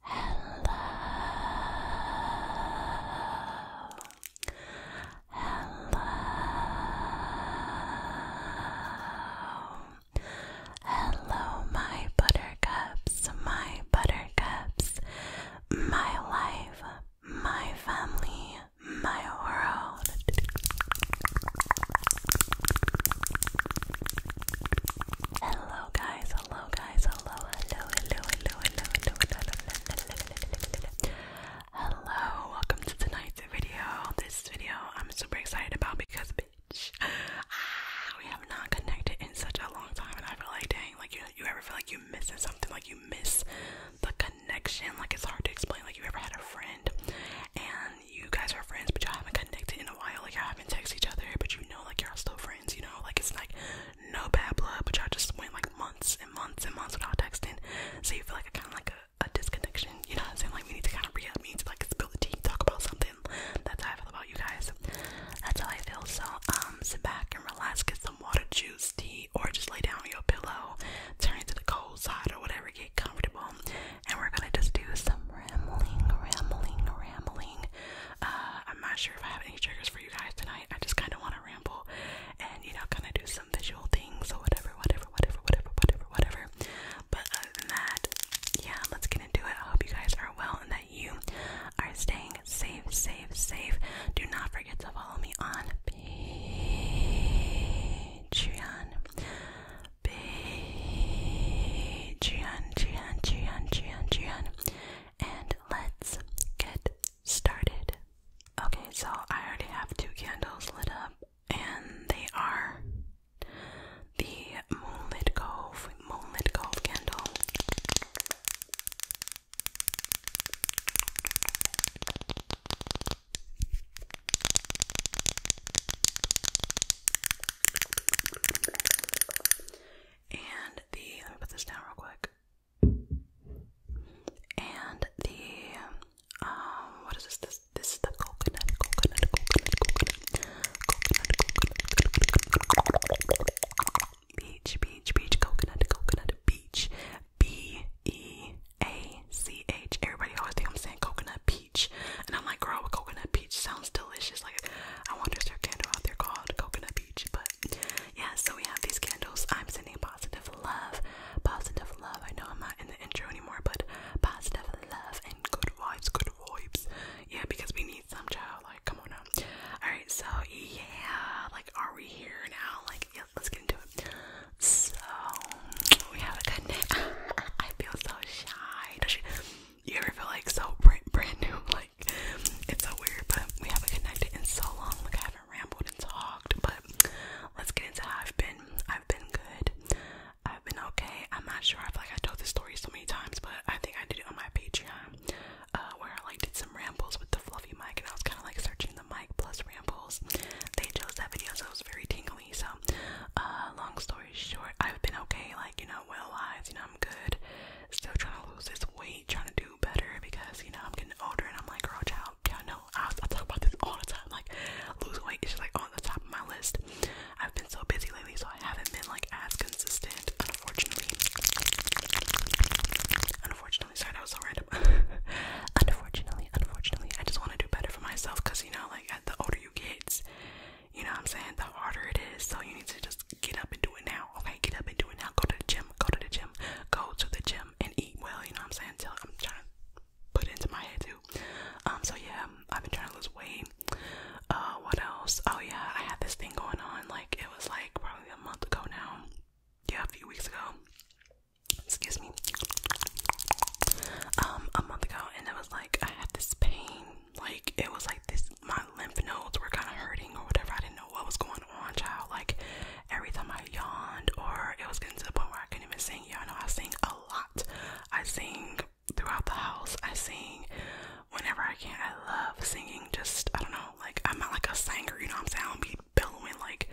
hello, my buttercups, my buttercups, my life, my family, my world. Hello, guys, hello guys, hello, hello, hello, hello, hello, hello, hello, hello, hello, welcome to tonight's video. This video I'm super excited about because bitch, ah, we have not connected in such a long time, and I feel like dang, like you, you ever feel like you missing something, like you miss the connection, like it's hard to explain, like you ever had a friend and you guys are friends, but y'all haven't connected in a while, like y'all and text each other, but you know, like, y'all still friends, you know? Like, it's like no bad blood, but y'all just went like months and months and months without texting. So you feel like a kind of like a, disconnection, you know what I'm saying? Like, we need to kind of re up, we to like spill the tea, talk about something. That's how I feel about you guys. That's how I feel. So, um, sit back and relax, get some water, juice, tea, or just lay down on your pillow, turn it to the cold side or whatever, get comfortable, and we're gonna just do some rambling, rambling, rambling. Uh, I'm not sure if I have any triggers for you guys tonight. I just kind of want to ramble and you know, kind of do some visual things or whatever, whatever, whatever, whatever, whatever, whatever. But other than that, yeah, let's get into it. I hope you guys are well and that you are staying safe, safe, safe. Do not forget to follow me on Patreon be Gian, Gian, Gian, Gian, Gian. And let's get started. Okay, so I already have two candles lit up, and they are the Moonlit Cove, Moonlit Cove candle. And the let me put this down real quick. And the um what is this? This this is the coconut, coconut, coconut, coconut, coconut, coconut, beach, beach, beach, coconut, coconut, beach, B E A C H. Everybody always think I'm saying coconut, P peach. And I'm like, girl, a coconut peach sounds delicious. Like, I wonder if there's a candle out there called coconut peach. But yeah, so we have these candles. I'm sending positive love, positive love. I know I'm not in the intro anymore, but positive love and good vibes, good vibes. Yeah, because we need some child. Like, come on now. All right, so yeah, like, are we here now? Like, yeah, let's get into it. So we have a good night. I feel so shy you ever feel like so brand, brand new? Like, it's so weird, but we haven't connected in so long. Like, I haven't rambled and talked, but let's get into how I've been. I've been good. I've been okay. I'm not sure. I feel like I told this story so many times, but I think I did it on my Patreon, uh, where I like did some rambles with the fluffy mic, and I was kind of like searching the mic plus rambles. They chose that video, so it was very tingly. So, uh, long story short, I've been okay, like, you know, well lives, you know, I'm good. Still trying to lose this weight, trying to do better because, you know, I'm getting older and I'm like, girl, child, y'all I, talk about this all the time. Like, lose weight is just like on the top of my list. I've been so busy lately, so I haven't been like as consistent, unfortunately. Unfortunately, sorry, that was so random. unfortunately, unfortunately, I just want to do better for myself because, you know, like, the older you get, you know what I'm saying? The harder it is. So you need to just get up and do it now. Okay, get up and do it now. Go to the gym. Go to the gym. Go to the gym and eat well. You know what I'm saying? Till I'm trying to put into my head too. Um. So yeah, I've been trying to lose weight. Uh. What else? Oh yeah, I had this thing going on. Like it was like probably a month ago now. Yeah, a few weeks ago. Excuse me. Um, a month ago, and it was like I had this pain like it was like this my lymph nodes were kinda hurting or whatever. I didn't know what was going on, child. Like every time I yawned or it was getting to the point where I couldn't even sing. Y'all know I sing a lot. I sing throughout the house. I sing whenever I can. I love singing just I don't know, like I'm not like a singer, you know what I'm saying? I don't be bellowing like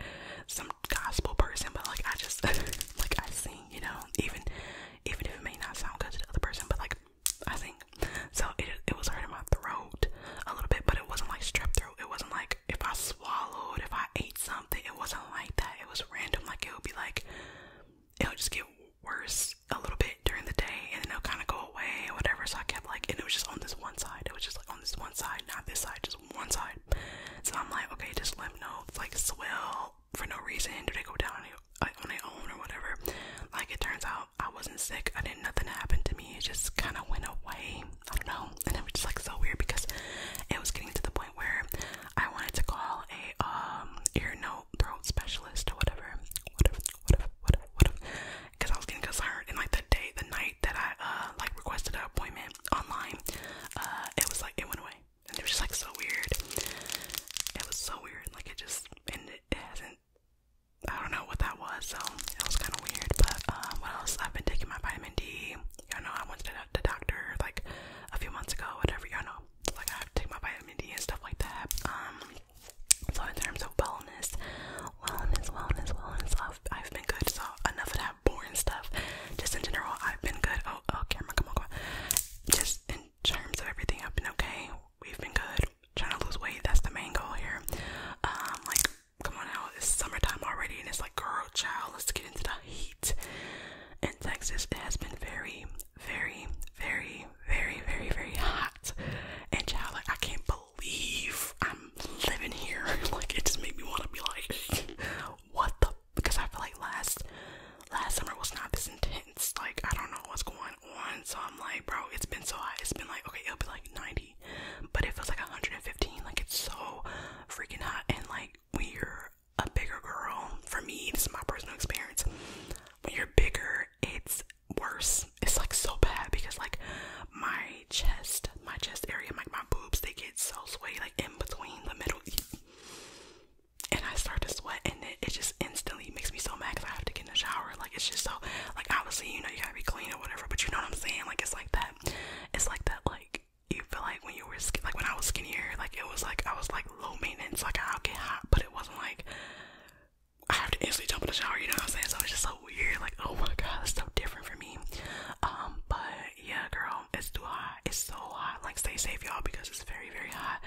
some gospel person, but like I just like I sing, you know, even even if it may not sound good to the other person, but like I think so. It it was hurting my throat a little bit, but it wasn't like strep throat. It wasn't like if I swallowed, if I ate something, it wasn't like that. It was random. Like it would be like it would just get worse a little bit during the day, and then it'll kind of go away or whatever. So I kept like, and it was just on this one side. It was just like on this one side, not this side, just one side. So I'm like, okay, just let know. It's like swell for no reason. Do they go down on, like, on their own or whatever? Like it turns out I wasn't sick. I didn't. Nothing happen to me. It just kind of went away. I don't know. And it was just like so weird because it was getting to the point where I wanted to call a um ear, nose, throat specialist or whatever. Whatever. Whatever. Whatever. Because I was getting concerned. And like the day, the night that I uh like requested an appointment online, uh it was like it went away and it was just like so weird. It was so weird, like it just and it, it hasn't. I don't know what that was, so it was kind of weird. But um, what else? I've been taking my vitamin D. Y'all know I went to the doctor like a few months ago, whatever. you know, like I have to take my vitamin D and stuff like that. Um, so in terms of wellness, wellness, wellness, wellness, I've, I've been good. So enough of that boring stuff. Just in general, I've been good. Oh, oh, camera, come on, come on. Just in terms of everything, I've been okay. We've been good. Trying to lose weight, that's the main goal here. Um, like, come on out, it's summertime already, and it's like, girl, child, let's get into the heat. In Texas, it has been very, very, very, very, very, very hot. And child, I can't believe I'm living here. like, it just made me want to be like, what the because I feel like last last summer was not this intense. Like I don't know what's going on, so I'm like, bro, it's been so hot. It's been like okay, it'll be like 90, but it feels like 115. Like it's so freaking hot, and like when you're a bigger girl, for me, this is my personal experience. When you're bigger, it's worse. It's like so bad because like my chest, my chest area, like my, my boobs, they get so sweaty, like in between the middle and I start to sweat, and it, it just instantly makes me so mad because I have to get in the shower. Like it's just so like obviously you know you gotta be clean or whatever, but you know what I'm saying? Like it's like that. It's like that. Like you feel like when you were skin, like when I was skinnier, like it was like I was like low maintenance. Like I'll get hot, but it wasn't like I have to instantly jump in the shower. You know what I'm saying? So it's just so weird. Like oh my god, it's so different for me. Um, but yeah, girl, it's too hot. It's so hot. Like, stay safe, y'all, because it's very, very hot.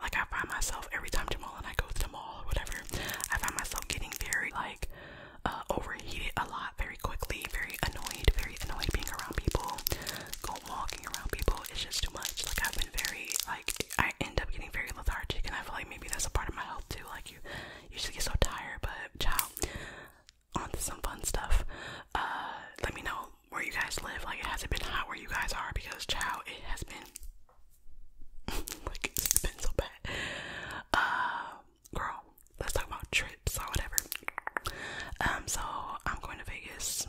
Like, I find myself every time Jamal and I go to the mall or whatever, I find myself getting very, like, uh, overheated a lot very quickly, very annoyed, very annoyed being around people, Going walking around people. It's just too much. Like, I've been very, like, I end up getting very lethargic, and I feel like maybe that's a part of my health too. Like, you, you get so tired, but, ciao onto some fun stuff. Uh, let me know where you guys live. Like, it hasn't been hot where you guys are because, chow, it has been. like, it's been so bad. Uh, girl, let's talk about trips or whatever. Um, so I'm going to Vegas.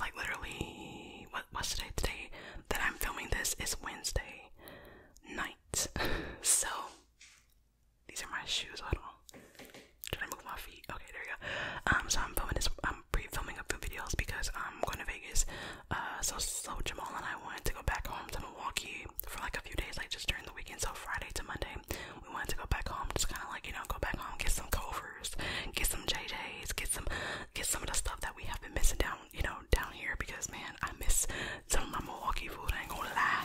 Like, literally, what what's today? Today that I'm filming this is Wednesday night. so these are my shoes. I Hold on. Should I move my feet? Okay, there you go. Um, so I'm filming this. I'm pre-filming a few videos because I'm going to Vegas. Uh, so so Jamal and I wanted to go back home to Milwaukee for like a few days, like just during the weekend. So Friday to Monday, we wanted to go back home, just kind of like you know go back home, get some covers, get some JJ's, get some get some of the stuff that we have been missing down you know down here because man, I miss some of my Milwaukee food. I ain't gonna lie.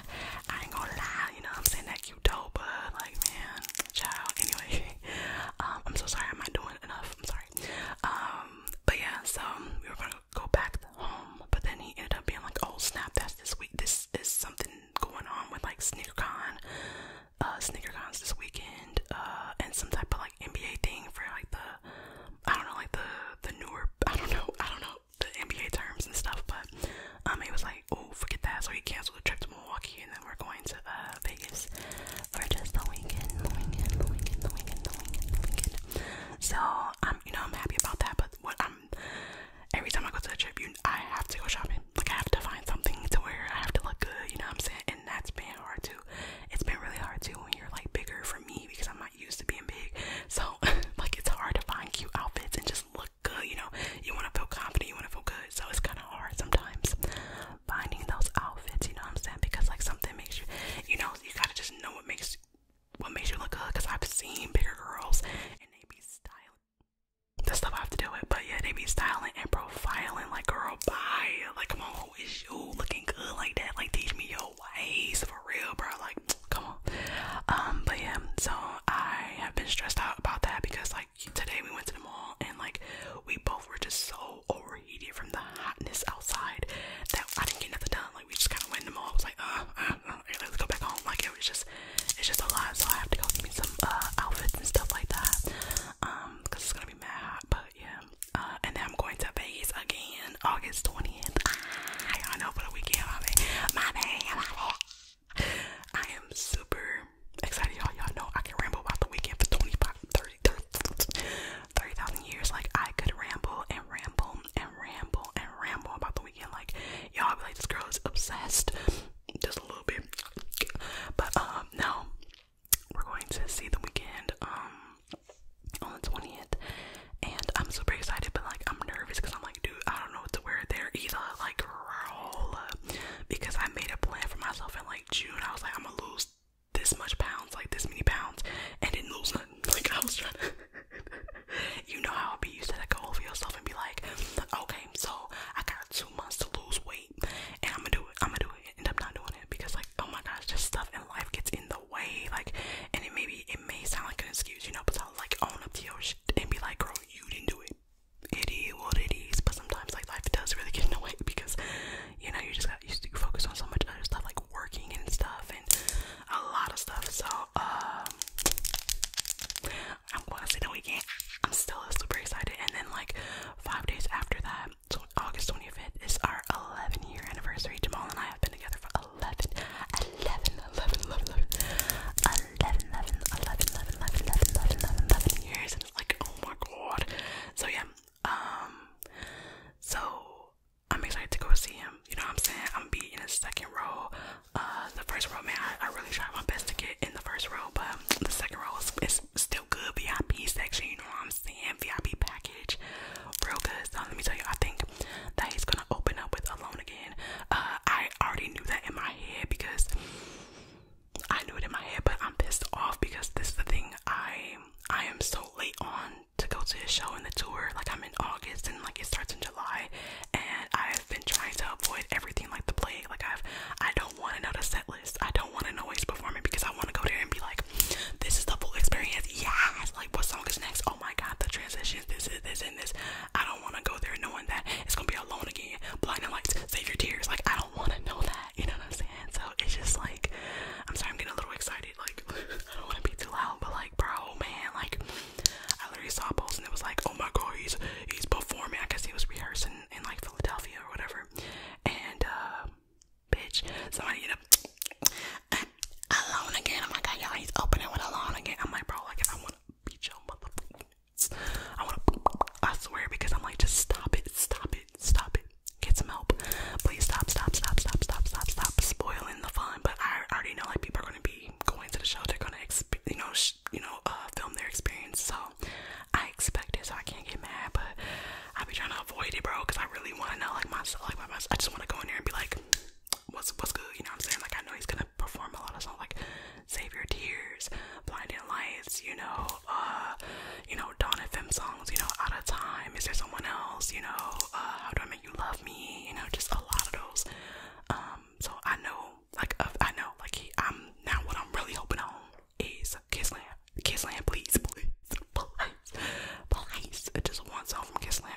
I ain't gonna lie. You know what I'm saying? That dope, but uh, like man, child. Anyway, um, I'm so sorry. I'm not doing enough. I'm sorry. Um, but yeah, so um, we were gonna go back home, but then he ended up being like, oh snap, that's this week. This is something going on with like SneakerCon, uh, SneakerCons this weekend, uh, and some type of like NBA thing for like the, I don't know, like the the newer, I don't know, I don't know the NBA terms and stuff, but um, he was like oh, forget that. So we canceled the trip to Milwaukee and then we're going to uh, Vegas for just the weekend, weekend, weekend, weekend, weekend, weekend. So I'm, you know, I'm happy about that. But what i every time I go to a trip, you, I have to go shopping. Like I have to find something to wear. I have to look good. You know what I'm saying? And that's been hard too. It's been really hard too when you're like bigger for me because I'm not used to being big. So like it's hard to find cute outfits and just look good, you know, you want to feel confident, you want to feel good. So it's kind of hard sometimes finding those outfits, you know what I'm saying? Because like something makes you, you know, you got to just know what makes what makes you look good because I've seen bigger girls and they be styling. The stuff I have to do it, but yeah, they be styling and profiling like girl bye. Like come on, who is you looking good like that? Like teach me your ways for real, bro. Like come on. Um, but yeah, so I have been stressed out about that because like today we went to the mall and like we both were just so overheated from the hotness outside that I didn't get nothing done. Like we just kind of went to the mall. I was like, uh, uh, uh let's go back home. Like it was just, it's just a lot. So I have to go get me some uh, outfits and stuff like that. Um, cause it's gonna be mad hot. But yeah. Uh, and then I'm going to Vegas again, August twentieth. I ah, know for the weekend. My bad, my bad, I am super excited, y'all. Y'all know I can ramble about the weekend for 25, 30, 30,000 30, years. Like, I could ramble and ramble and ramble and ramble about the weekend. Like, y'all be like, this girl is obsessed. Just a little bit. But, um, no. We're going to see the weekend, um, on the 20th. And I'm super excited, but, like, I'm nervous because I'm like, dude, I don't know what to wear there either. Like, roll Because I made a plan for myself in like June. I was like, I'm gonna lose this much pounds, like this many pounds, and didn't lose nothing. Like, I was trying to. you know how I'll be You to that goal for yourself and be like, okay, so I got two months to lose weight, and I'm gonna do it. I'm gonna do it. End up not doing it because, like, oh my gosh, just stuff in life gets in the way. Like, and it maybe it may sound like an excuse, you know, but I'll like own up to your shit and be like, girl, you didn't do it it is what it is, but sometimes like life does really get in the way because you know you just got used to focus on so much other stuff like working and stuff and a lot of stuff. So um, I'm gonna say the weekend. I'm still super excited, and then like five days after that, so August 25th is our 11 year anniversary. Jamal and I have been together for 11, 11, 11, 11, 11, 11, 11, 11, 11, 11, 11, 11, 11 years, and it's like, oh my god. So yeah, um, so I'm excited to go see him. You know what I'm saying? I'm be in the second row. Uh, the first row, man, I, I really tried my best to get in the first row, but the second row is, is still good. VIP section, you know what I'm saying? VIP package, real good. So let me tell you, I think that he's gonna open up with Alone Again in. Uh, I already knew that in my head because I knew it in my head, but I'm pissed off because this is the thing. I I am so late on to go to his show and the tour. Like I'm in August and like it starts in July, and I've been trying to avoid everything like the plague. Like I've I don't want to know the set list. I don't want to know he's performing because I want to go there and be like, this is the full experience. Yes. Like what song is next? Oh my god, the transitions. This is this I don't want to go there knowing that it's gonna be alone again, blinding lights, save your tears. Like I don't want to know that. You know what I'm saying? So it's just like, I'm sorry, I'm getting a little excited. Like I don't want to be too loud, but like, bro, man, like I literally saw a and it was like, oh my god, he's he's performing. I guess he was rehearsing in like Philadelphia or whatever, and uh, bitch, somebody ended up. Alone again. I'm like, y'all, he's opening with alone again. I'm like, bro, like if I want, beat your motherfucking I wanna, I swear, because I'm like, just stop it, stop it, stop it. Get some help. Please stop, stop, stop, stop, stop, stop, stop spoiling the fun. But I already know like people are gonna be going to the show. They're gonna, you know, you know, uh, film their experience. So I expect it, so I can't get mad. But I be trying to avoid it, bro, because I really wanna know like myself, like my myself. I just wanna go in there and be like, what's what's good, you know what I'm saying? Like I know he's gonna perform a lot of songs like Save Your Tears, Blinding Lights, you know, uh, you know, Dawn FM songs, you know, Out of Time, Is There Someone Else, you know, uh, How Do I Make You Love Me, you know, just a lot of those. Um, so I know like uh, I know like he I'm now what I'm really hoping on is Kissland. Kissland, please, please, please, please. I just want song from Kissland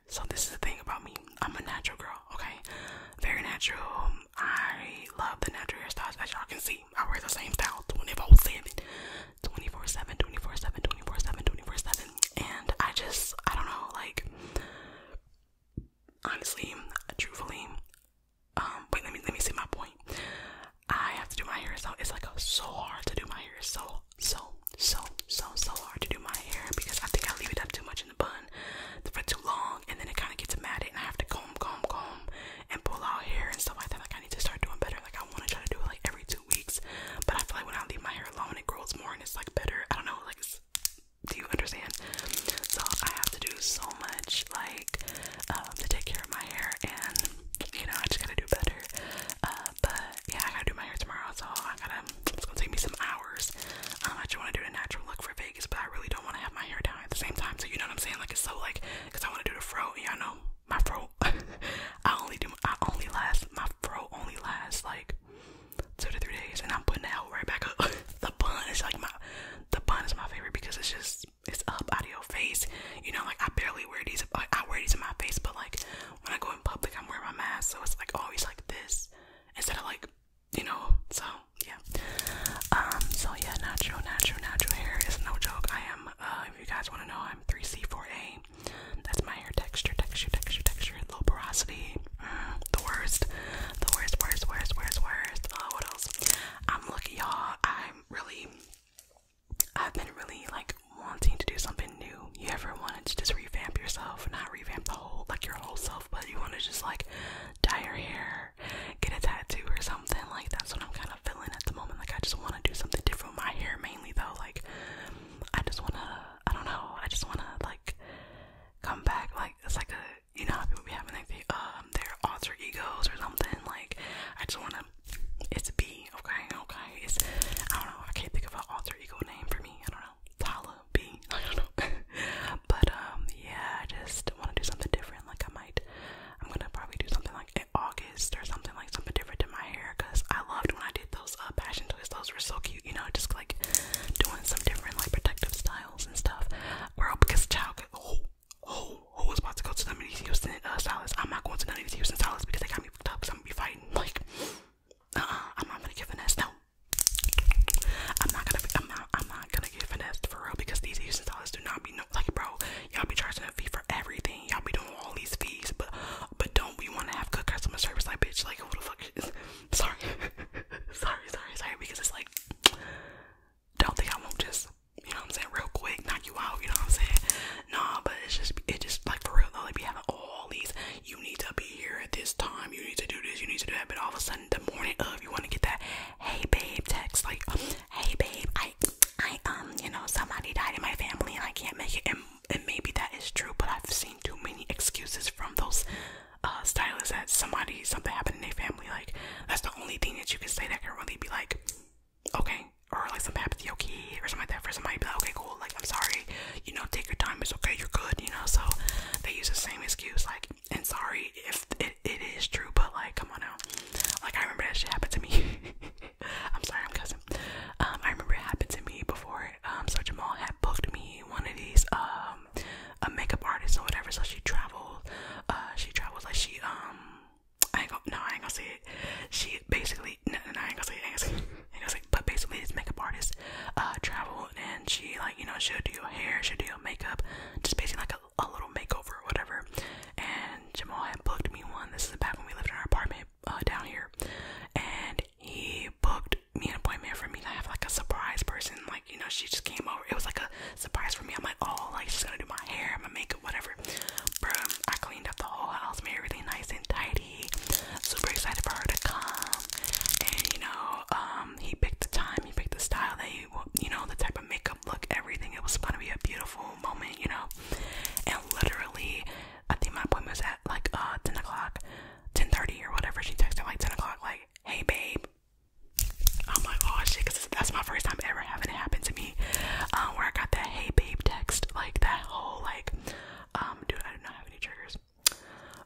So this is the thing about me. I'm a natural girl, okay? Very natural. I love the natural hairstyles. As y'all can see, I wear the same style 24/7, 24/7, 24/7, 24/7, And I just, I don't know, like, honestly, truthfully, um, wait, let me let me see my point. I have to do my hair, so it's like so hard to do my hair. So so so, so, so hard to do my hair because I think I leave it up too much in the bun for too long and then it kind of gets matted and I have to comb, comb, comb and pull out hair and stuff like that. Like I need to start doing better. Like I want to try to do it like every two weeks, but I feel like when I leave my hair alone, it grows more and it's like better. I don't know, like do you understand? So I have to do so much like um, to take care of my hair and you know I just gotta do better. Uh, but yeah, I gotta do my hair tomorrow, so I gotta. It's gonna take me some hours. Um, I just want to do a natural look for Vegas, but I really don't want to have my hair down at the same time. So you know what I'm saying? Like it's so like, cause I want to do the fro. Yeah, I know my fro. I only do. I only last. My fro only lasts like two to three days, and I'm putting that right back up. the bun is like my. The bun is my favorite because it's just it's up out of your face. You know, like I barely wear these. Like I wear these in my face, but like when I go in public, I'm wearing my mask, so it's like always like this instead of like, you know. So yeah. Um. So yeah, natural, natural, natural hair is no joke. I am. Uh, if you guys want to know, I'm 3C4A. That's my hair texture, texture, texture, texture. Low porosity. Mm, the worst. The worst, worst, worst, worst, worst. Uh, what else? I'm lucky, y'all. I'm really. I've been really like wanting to do something new. You ever wanted to just revamp yourself, not revamp the whole like your whole self, but you want to just like dye your hair, get a tattoo or something. Like that's what I'm kind of feeling at the moment. Like I just want to do something different with my hair mainly though. Like I just want to, I don't know, I just want to like come back. Like it's like a, you know, how people be having like the, um, their alter egos or something. Like I just want to it's B, okay, okay. It's I don't know, I can't think of an alter ego name for me. I don't know. Tala B. I don't know. but um yeah, I just wanna do something different. Like I might I'm gonna probably do something like August or something like something different to my hair because I loved when I did those uh passion twists, those were so cute, you know, just like doing some different like protective styles and stuff. Girl, oh, because child could oh Oh, who was about to go to none of these Houston uh, styles? I'm not going to none of these Houston stylists because they got me fucked up because I'm gonna be fighting like, uh-uh, I'm not gonna give a S. No, I'm not gonna. I'm not. I'm not gonna give an S for real because these Houston dollars do not be no. Like, bro, y'all be charging a fee for everything. Y'all be doing all these fees, but but don't we want to have good customer service? Like, bitch, like who the fuck? Is, sorry, sorry, sorry, sorry. Because it's like, don't think I won't just. You know what I'm saying? Real quick, knock you out. You know what I'm saying? Nah, but it's just it just like for real though, like be having all these you need to be here at this time, you need to do this, you need to do that, but all of a sudden the morning of you wanna get that hey babe text like hey babe, I I um you know somebody died in my family and I can't make it and and maybe that is true, but I've seen too many excuses from those uh, stylists that somebody something happened in their family, like that's the only thing that you can say that can really be like okay, or like some okay, or something like that for somebody. okay, cool. Like, I'm sorry. You know, take your time. It's okay. You're good. You know. So they use the same excuse. Like, and sorry if it, it is true, but like, come on now. Like, I remember that shit happened to me. I'm sorry, I'm cussing. Um, I remember it happened to me before. Um, so mall had booked me one of these um a makeup artist or whatever. So she traveled. Uh, she traveled. like she um I ain't gonna, no, I ain't gonna say it. She basically, no, no, I I ain't gonna say it, I ain't gonna say it. But basically, this makeup artist, uh, traveled and she, like, you know, she'll do your hair, she'll do your makeup, just basically like a, a little makeover or whatever. And Jamal had booked me one. This is back when we lived in our apartment, uh, down here. And he booked me an appointment for me to have, like, a surprise person. Like, you know, she just came over. It was like a surprise for me. I'm like, oh, like, she's gonna do my hair, my makeup, whatever whatever. I cleaned up the whole house, made everything nice and tidy. Super excited for her to come. And you know, um, he picked the time, he picked the style that he, you know, the type of makeup look, everything. It was gonna be a beautiful moment, you know. And literally, I think my appointment was at like uh, 10 o'clock, 10:30 or whatever. She texted like 10 o'clock, like, "Hey, babe." I'm like, "Oh shit," because that's my first time ever having it happen to me. Um, where I got that "Hey babe" text, like that whole like, um, dude, I do not have any triggers,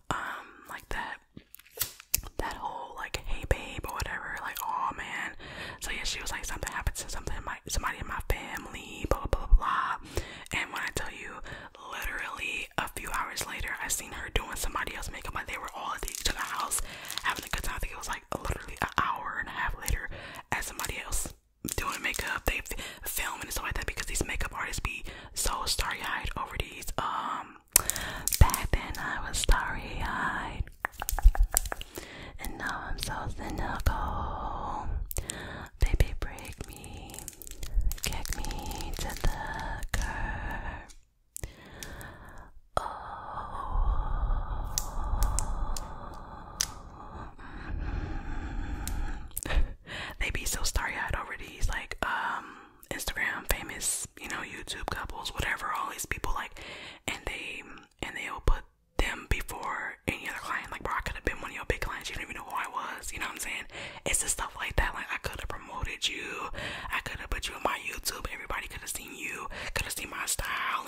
um, like that, that whole like "Hey babe" or whatever, like, oh man. So yeah, she was like, something happened to something in my somebody in my family, blah blah blah And when I tell you, literally a few hours later, I seen her doing somebody else makeup. Like they were all at the other's house having a good time. I think it was like literally an hour and a half later as somebody else doing makeup, they film and stuff like that because these makeup artists be so starry eyed over these. Um, back then I was starry eyed, and now I'm so cynical. Baby, break me, kick me to the curb. Oh, they be so starry-eyed already. He's like, um, Instagram famous, you know, YouTube couples, whatever, all these people like, and they and they'll put them before any other client. Like, bro, I could have been one of your big clients. You don't even know who I was. You know what I'm saying? It's just stuff like that. Like, I could have promoted you. I could have put you on my YouTube. Everybody could have seen you. Could have seen my style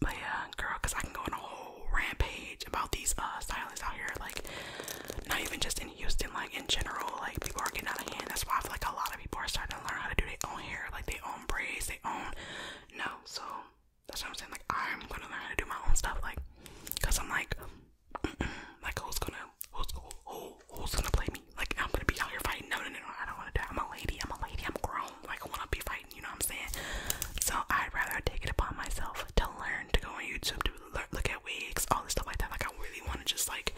But yeah, girl, cause I can go on a whole rampage about these uh out here, like not even just in Houston, like in general, like people are getting out of hand. That's why I feel like a lot of people are starting to learn how to do their own hair, like their own braids, their own no. So that's what I'm saying. Like I'm gonna learn how to do my own stuff, like, cause I'm like, mm -mm, like who's gonna who's who, who's gonna play me? Like, I'm gonna be out here fighting. No, no, no, no, I don't wanna do that. I'm a lady, I'm a lady, I'm grown. Like, I wanna be fighting, you know what I'm saying? So, I'd rather take it upon myself to learn, to go on YouTube, to learn, look at wigs, all this stuff like that. Like, I really wanna just, like,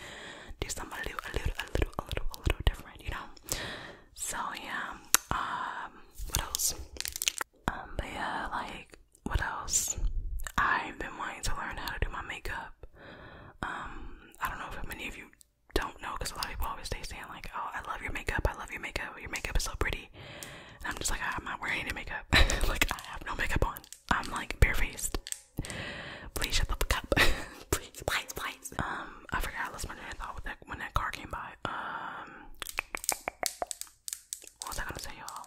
do something a little, a little, a little, a little, a little different, you know? So, yeah. Um, what else? Um, but yeah, like, what else? I've been wanting to learn how to do my makeup. Um, I don't know if many of you don't know because a lot of people always stay saying like, "Oh, I love your makeup. I love your makeup. Your makeup is so pretty." And I'm just like, I'm not wearing any makeup. like I have no makeup on. I'm like barefaced. Please shut the fuck up. please, please, please. Um, I forgot I lost my train of with that when that car came by. Um, what was I gonna say, y'all?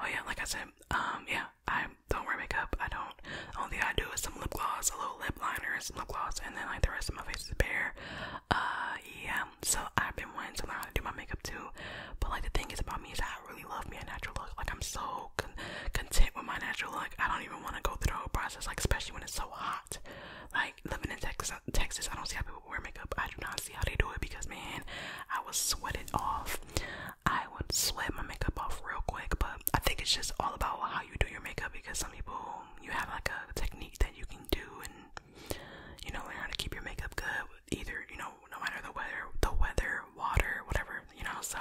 Oh yeah, like I said, um, yeah, I don't wear makeup. I don't. Only thing I do is some lip gloss, a little lip liner, and some lip gloss, and then like the rest of my face is bare. Uh, yeah. So I've been wanting to learn how to do my makeup too. But like the thing is about me is I really love me a natural look. Like I'm so content with my natural look. I don't even want to go through the whole process. Like especially when it's so hot. Like living in Texas, Texas, I don't see how people wear makeup. I do not see how they do it because man, I was sweating off I would sweat my makeup off real quick, but I think it's just all about how you do your makeup because some people you have like a technique that you can do and you know learn how to keep your makeup good either you know no matter the weather the weather water whatever you know so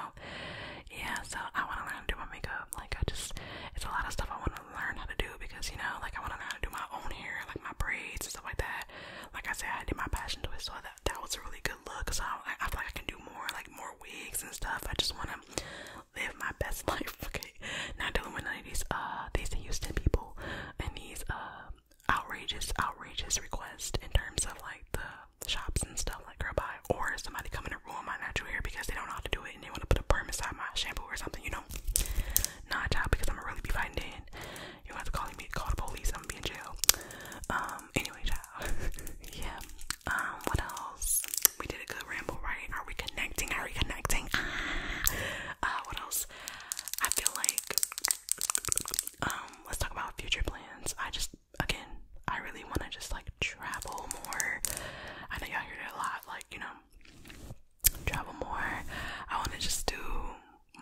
yeah so I want to learn how to do my makeup like I just it's a lot of stuff I want to learn how to do because you know like I want to learn how to do my own hair like my braids and stuff like that like I said I did my passion to it so that that was a really good look. So I, feel like I can do more, like more wigs and stuff. I just want to live my best life. Okay, not dealing with these uh, these Houston people and these uh, outrageous outrageous requests in terms of like the shops and stuff like girl buy or somebody coming to ruin my natural hair because they don't know how to do it and they want to put a perm inside my shampoo or something. You know, nah, child, because I'm gonna really be fighting in. You have to call me, call the police. I'm gonna be in jail. Um. Anyway, child. yeah. Um, what else? We did a good ramble, right? Are we connecting? Are we connecting? Ah. Uh, what else? I feel like um, let's talk about future plans. I just again, I really want to just like travel more. I know y'all hear it a lot, like you know, travel more. I want to just do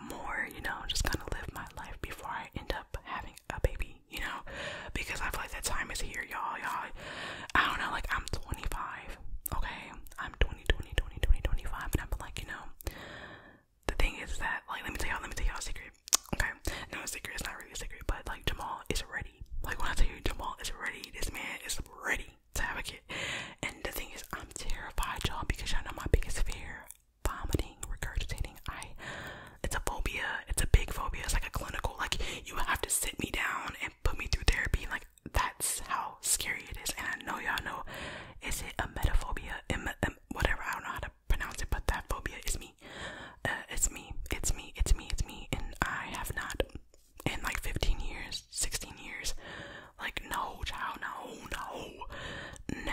more, you know, just kind of live my life before I end up having a baby me, you know, because I feel like that time is here, y'all. Y'all, I don't know, like I'm 25, okay? I'm 20, 20, 20, 20, 25, and I'm like, you know, the thing is that, like, let me tell y'all, let me tell y'all a secret, okay? No, it's secret, it's not really a secret, but like, Jamal is ready. Like, when I tell you, Jamal is ready, this man is ready to have a kid. And the thing is, I'm terrified, y'all, because y'all know my biggest fear vomiting, regurgitating. I it's a phobia. It's a big phobia. It's like a clinical like you have to sit me down and put me through therapy. Like that's how scary it is. And I know y'all know is it a meta phobia? Em em whatever, I don't know how to pronounce it, but that phobia is me. Uh, it's me. It's me. It's me. It's me. And I have not in like 15 years, 16 years. Like no, child, no, no. No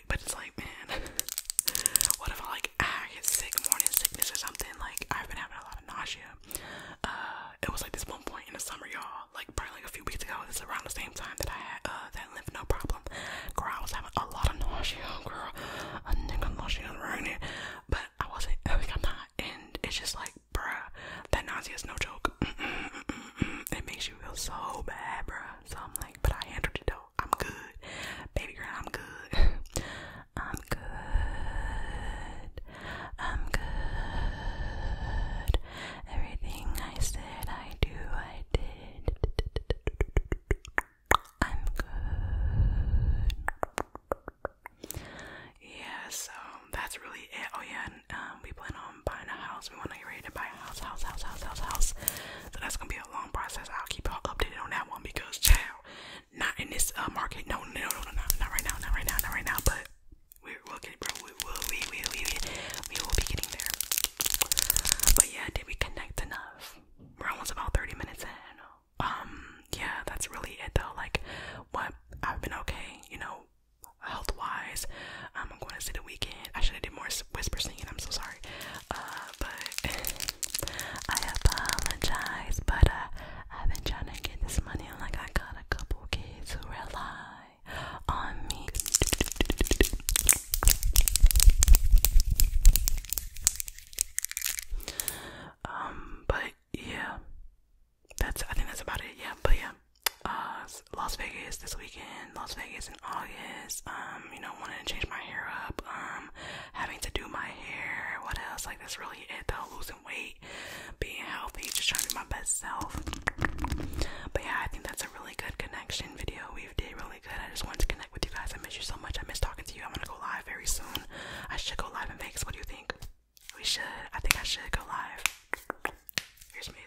it, but it's like, man, what if I like ah, get sick, morning sickness or something? Like I've been having a lot of nausea. Uh, it was like this one point in the summer, y'all, like probably like a few weeks ago. This is around the same time that I had uh that lymph no problem. Girl, I was having a lot of nausea, girl, a nigga nausea around here, but I wasn't. Like I'm not, and it's just like, bruh, that nausea is no joke. It makes you feel so bad, bruh. So I'm like, but I handled it know, I'm good. Baby girl, I'm good. I'm good. I'm good. Everything I said I do, I did. I'm good. Yeah, so that's really it. Oh yeah, and, um, we plan on buying a house. We want I ready to buy a house, house, house, house, house, house. So that's gonna be a long process. I'll keep y'all updated on that one because child, not in this uh, market. No, no, no, no, no, not right now, not right now, not right now. But we will get, bro. We will, we, we, we, we, we will be getting there. But yeah, did we connect enough? We're almost about thirty minutes in. Um, yeah, that's really it though. Like, what I've been okay, you know, health wise. Um, I'm going to see the weekend. I should have did more whisper singing. I'm so sorry. Uh, but I apologize, but uh, I've been trying to get this money. I'm like, I got a couple kids who rely on me. Um, but yeah, that's I think that's about it. Yeah, but yeah, uh, Las Vegas this weekend, Las Vegas this in August. Um, you know, wanting to change my hair up. Um, having to do my hair. What else? Like that's really it though. Losing weight, being healthy, just trying to be my best self. But yeah, I think that's a really good connection video. We did really good. I just wanted to connect with you guys. I miss you so much. I miss talking to you. I'm gonna go live very soon. I should go live in Vegas. What do you think? We should. I think I should go live. Here's my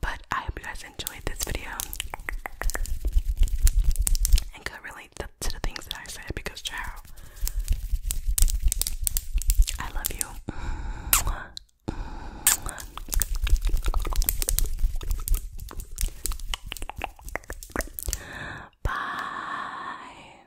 but I hope you guys enjoyed this video and could relate to, the things that I said because, child, I love you. Bye.